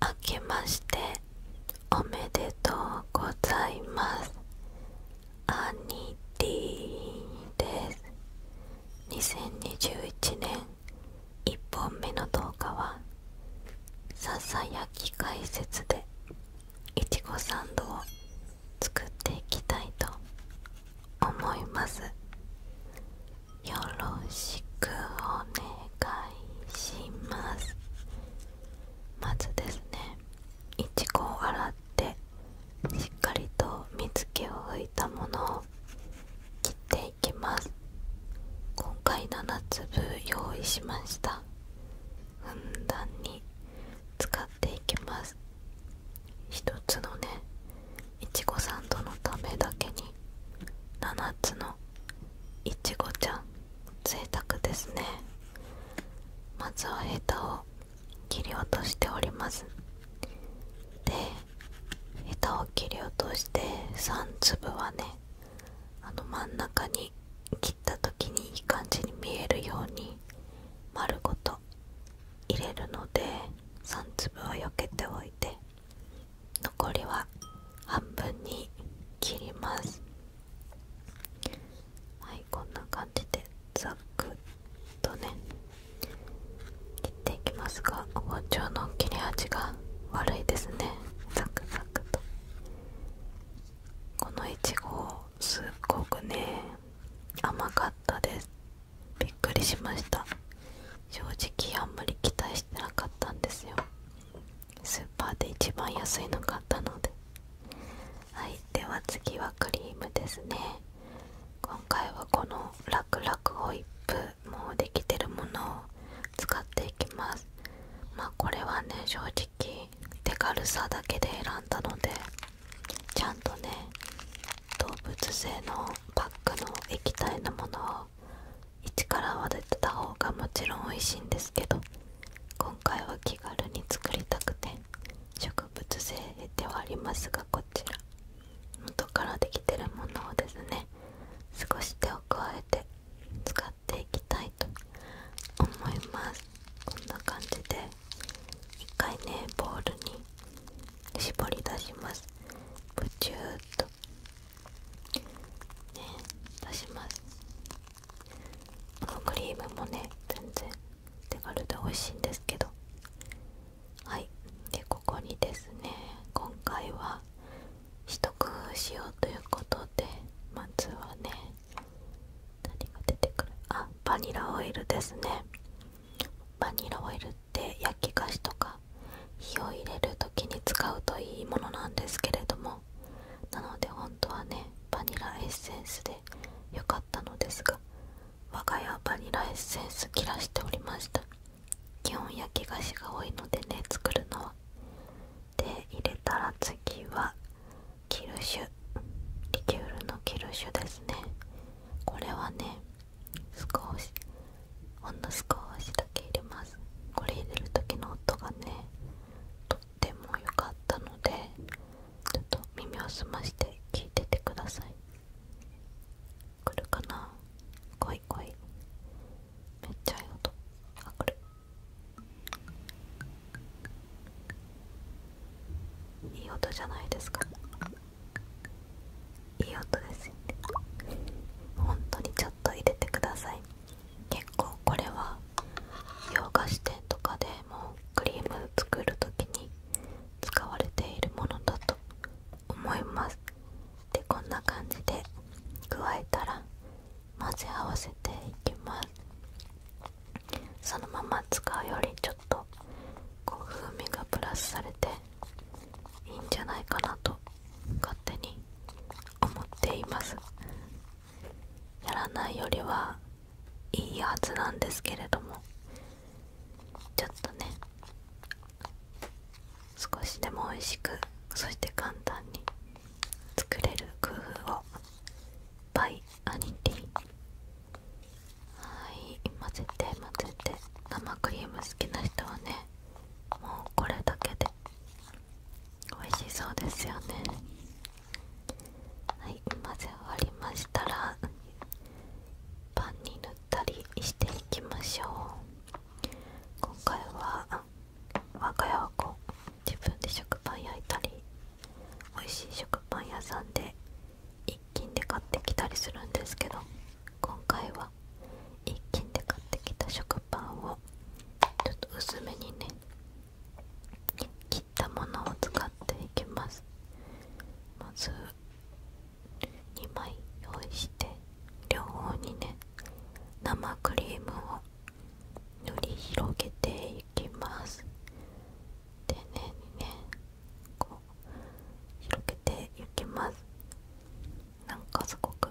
明けましておめでとうございますアニティです2021年1本目の動画はささやき解説でいちごサンドを作っていきたいと思いますよろしくお願いしますまずですねいちごを洗ってしっかりと水気を拭いたものを切っていきます今回7粒用意しましたふんだんに使っていきます一つのねいちごサンドのためだけに7つのいちごちゃん贅沢ですねまずはヘタを切り落としておりますでヘタを切り落として3粒はねあの真ん中に切った時にいい感じに見えるように丸ごと入れるので3粒は避けておいて残りは半分に切りますはいこんな感じでザっくとね切っていきますが包丁の切れ味が悪いですねザクザクとこのいちごすっごくね甘かったですびっくりしました正直あんまり期待してなかったんですよスーパーで一番安いの買ったのではいでは次はクリームですね今回はこのラクラクホイップもうできてるものを使っていきますまあこれはね正直手軽さだけで選んだのでちゃんとね動物性のパックの液体のものを一からは出てた方がもちろん美味しいんですけど今回は気軽に作りたくて植物性ではありますがこちら元からできてるものをですね少し手を加えて使っていきたいと思いますこんな感じで一回ねボウルに絞り出しますプチューっとね、出しますこのクリームもね全然手軽で美味しいんですけどはいでここにですね今回は一工夫しようということでまずはね何が出てくるあバニラオイルですねバニラオイルっ焼き菓子とか火を入れる時に使うといいものなんですけれどもなので本当はねバニラエッセンスで良かったのですが我が家はバニラエッセンス切らしておりました基本焼き菓子が多いのでね作るのはで入れたら次はキルシュリキュールのキルシですねこれはね少しほんの少しだけ入れますこれ入れる時の音がねとっても良かったのでちょっと耳を澄まして聞いててください来るかな来い来いめっちゃいい音あ来るいい音じゃないですかいい音ですよね本当にちょっと入れてください結構これは洋菓子店とかでもクリーム作る時に使われているものだと思いますでこんな感じで加えたら混ぜ合わせていきますそのまま使うよりちょっとこう風味がプラスされていいんじゃないかなと勝手に思っていますやらないよりはいいはずなんですけれどもちょっとね少しでも美味しくそして簡単に作れる工夫をバイアニティはい混ぜて混ぜて生クリーム好きな人はねもうこれだけで美味しそうですよねはい混ぜ終わりましたらパンに塗ったりしていきましょう今回は我が家はこう自分で食パン焼いたり美味しい食パン屋さんで一斤で買ってきたりするんですけど今回はは一軒で買ってきた食パンをちょっと薄めにね切ったものを使っていきますまず2枚用意して両方にね生クリームを塗り広げていきます丁寧にねこう広げていきますなんかすごく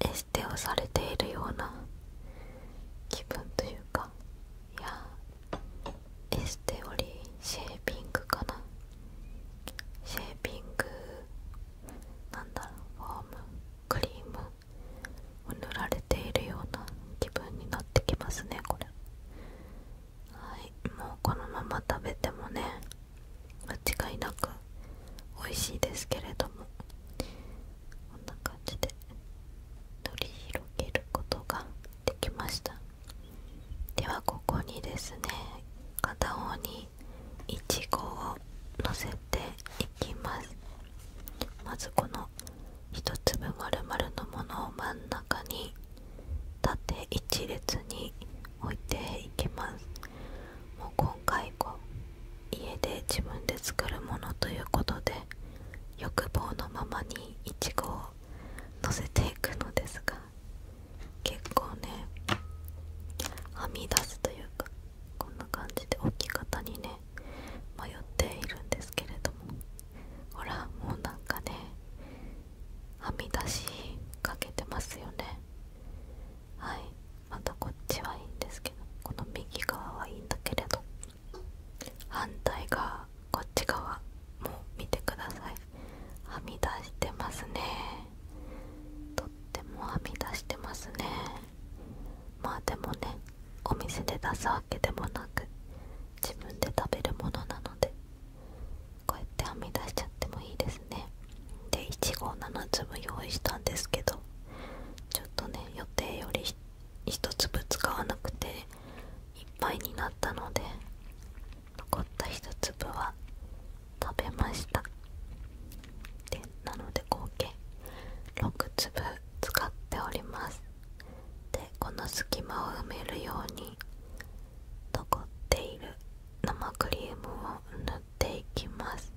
エステをされているような気分というかいやエステよりシェーピングかなシェーピングなんだろうフォームクリームを塗られているような気分になってきますねこれはいもうこのまま食べてもね間違いなく美味しいですけれどもこんな感じで取り広げることができましたではここにですね片方にいちごをのせていきますまずこの1粒丸々のものを真ん中に縦1列に置いていきますもう今回こう家で自分で作るものということで欲望のままにいちごをのせていくのですが結構ねはみ出すというかこんな感じで置き方にね迷っているんですけれどもほらもうなんかねはみ出しかけてますよねはいまたこっちはいいんですけどこの右側はいいんだけれど反対側こっち側も見てくださいはみ出してますねとってもはみ出してますねまあでもねお店で出すわけでもなく自分で食べるものなのでこうやってはみ出しちゃってもいいですねでいち7粒用意したんですけどちょっとね予定より1粒使わなくていっぱいになったので残った1粒は食べましたでなので合計6粒使っておりますでこの隙間を埋めるように残っている生クリームを塗っていきます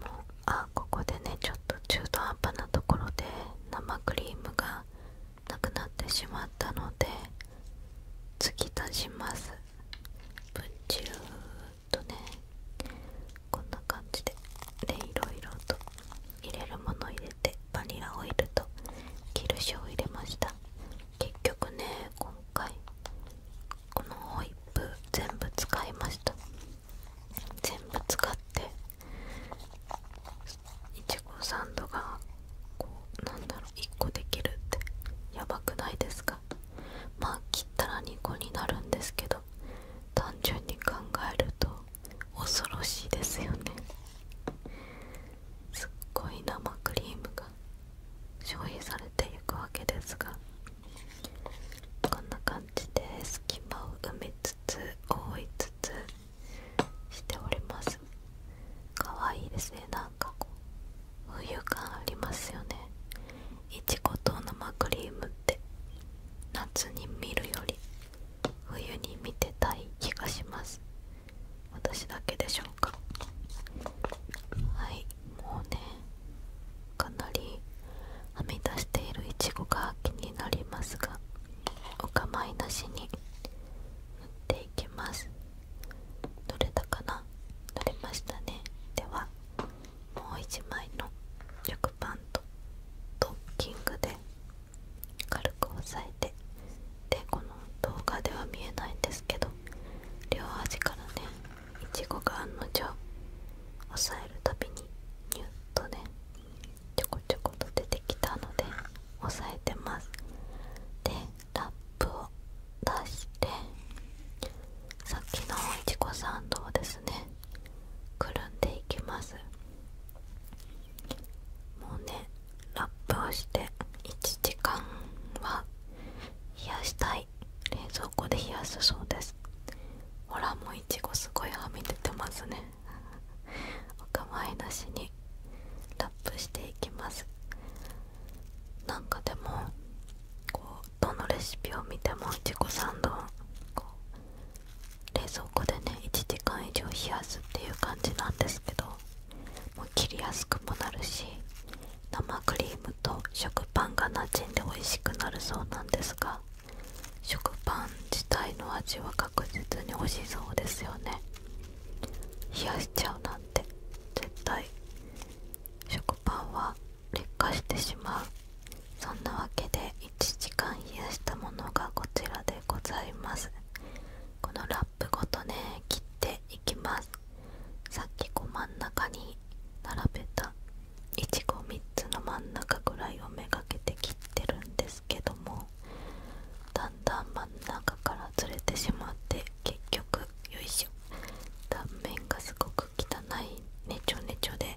もうあここでねちょっと中途半端なところで生クリームがなくなってしまったので次足しますプチューっとねこんな感じででいろいろと入れるもの入れてバニラオイルとキルシを入れました結局ね今回このホイップ全部使いました全部使っていちごサンドがこうなんだろう1個できるってやばくないですかまあ切ったら2個になるんですけど単純に考えると恐ろしいですよねすっごい生クリームが消費されていくわけですがこんな感じで隙間を埋めつつ覆いつつしておりますかわいいですねなんかこう冬感ありますよねいちごと生クリームって夏に見るより冬に見てたい気がします私だけでしょうかはいもうねかなりはみ出しているいちごが気になりますがお構いなしに塗っていきますどれだかな塗れましたねではもう1枚の食パンとトッキングで軽く押さえてでこの動画では見えないんですけど両端からねいちごが案の定押さえるたびにニュッとねちょこちょこと出てきたので押さえてますでラップを出してさっきのいちごサンドをですねくるんでいきますもうねラップをして1時間は冷やしたい冷蔵庫で冷やすそうですほらもういちごすごいはみ出てますねお構いなしにラップしていきますなんかでもこうどのレシピを見てもいちごサンドこう冷蔵庫でね1時間以上冷やすっていう感じなんですけどもう切りやすくもなるし生クリームと食パンがなじんで美味しくなるそうなんですが食パン自体の味は確実に美味しそうですよね冷やしちゃうなんて絶対食パンは劣化してしまうそんなわけで1時間冷やしたものがこちらでございますこのッごとね切っていきますさっきこ真ん中に並べたいちご3つの真ん中ぐらいをめがけて切ってるんですけどもだんだん真ん中からずれてしまって結局よいしょ断面がすごく汚いねちょねちょで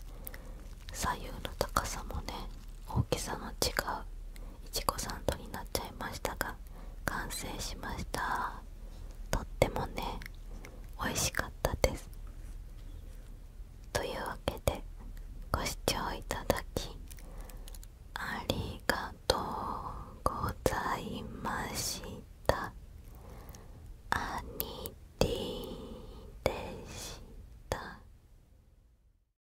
左右の高さもね大きさの違ういちごサンドになっちゃいましたが完成しましたとってもね美味しかったですというわけでご視聴いただきありがとうございましたアニティでした